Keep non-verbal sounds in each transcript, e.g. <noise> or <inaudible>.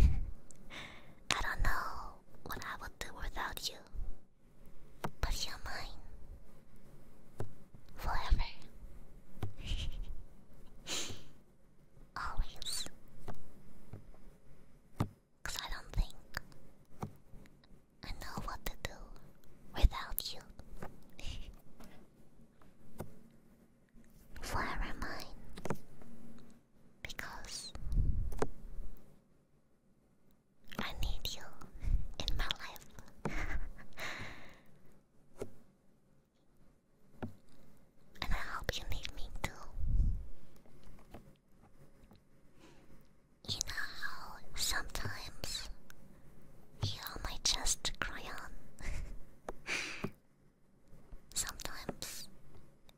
I don't know what I would do without you, but you're mine forever. <laughs> Always. I don't think I know what to do without you. <laughs> flower mine because I need you in my life. <laughs> and I hope you need me too. You know how sometimes you almost just cry on. <laughs> Sometimes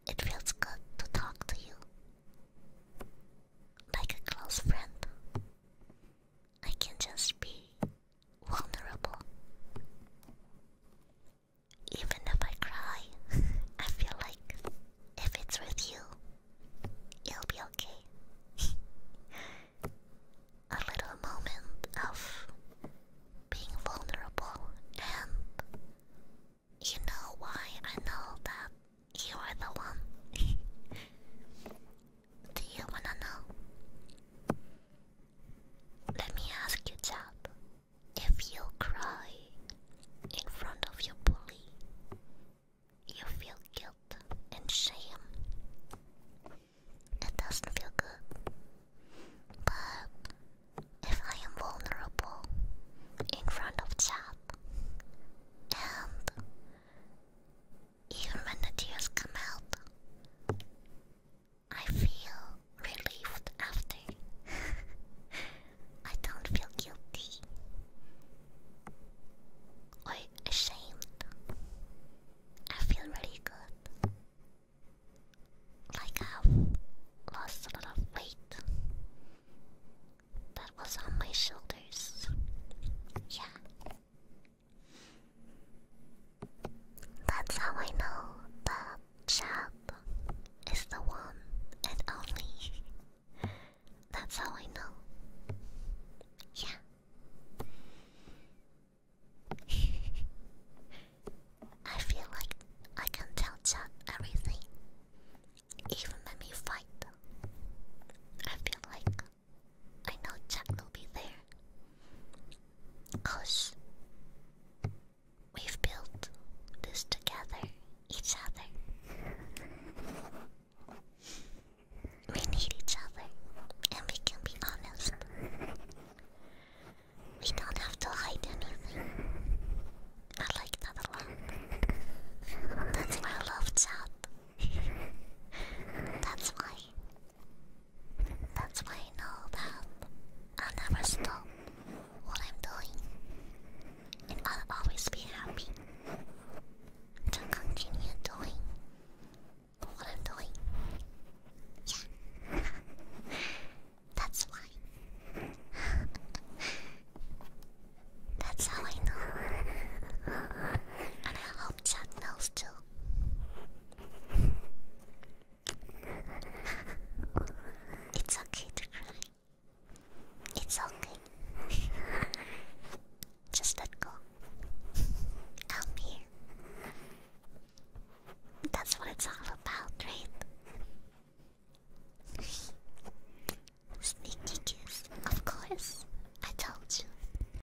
it feels good to talk to you like a close friend. I can just be vulnerable. Even if I cry, <laughs> I feel like if it's with you, it'll be okay. <laughs> a little moment of being vulnerable, and you know why I know that you are the one. <laughs> Do you wanna know? Let me ask you, chap. If you cry in front of your bully, you feel guilt and shame. It doesn't feel good. But if I am vulnerable in front of chat, and even when the tears come out, I feel relieved after. <laughs> I don't feel guilty or ashamed. I feel really good. Like I've lost a lot of weight that was on my shoulders. Yeah. That's how I know the Chad is the one and only that's how I know. Yeah. <laughs> I feel like I can tell chat everything. Even when we fight. I feel like I know chat will be there. Cause We've built this together, each other. We need each other, and we can be honest. We don't have to hide anything. I like that a lot. That's why I love chat. That's why that's why I know that I'll never stop what I'm doing. And I'll always be happy to continue doing what I'm doing. Yeah. <laughs> That's why. <laughs> That's how I know. And I hope Chad knows too. It's okay to cry. It's okay. Just let go. i here. That's what it's all about, right? Sneaky kiss, of course. I told you.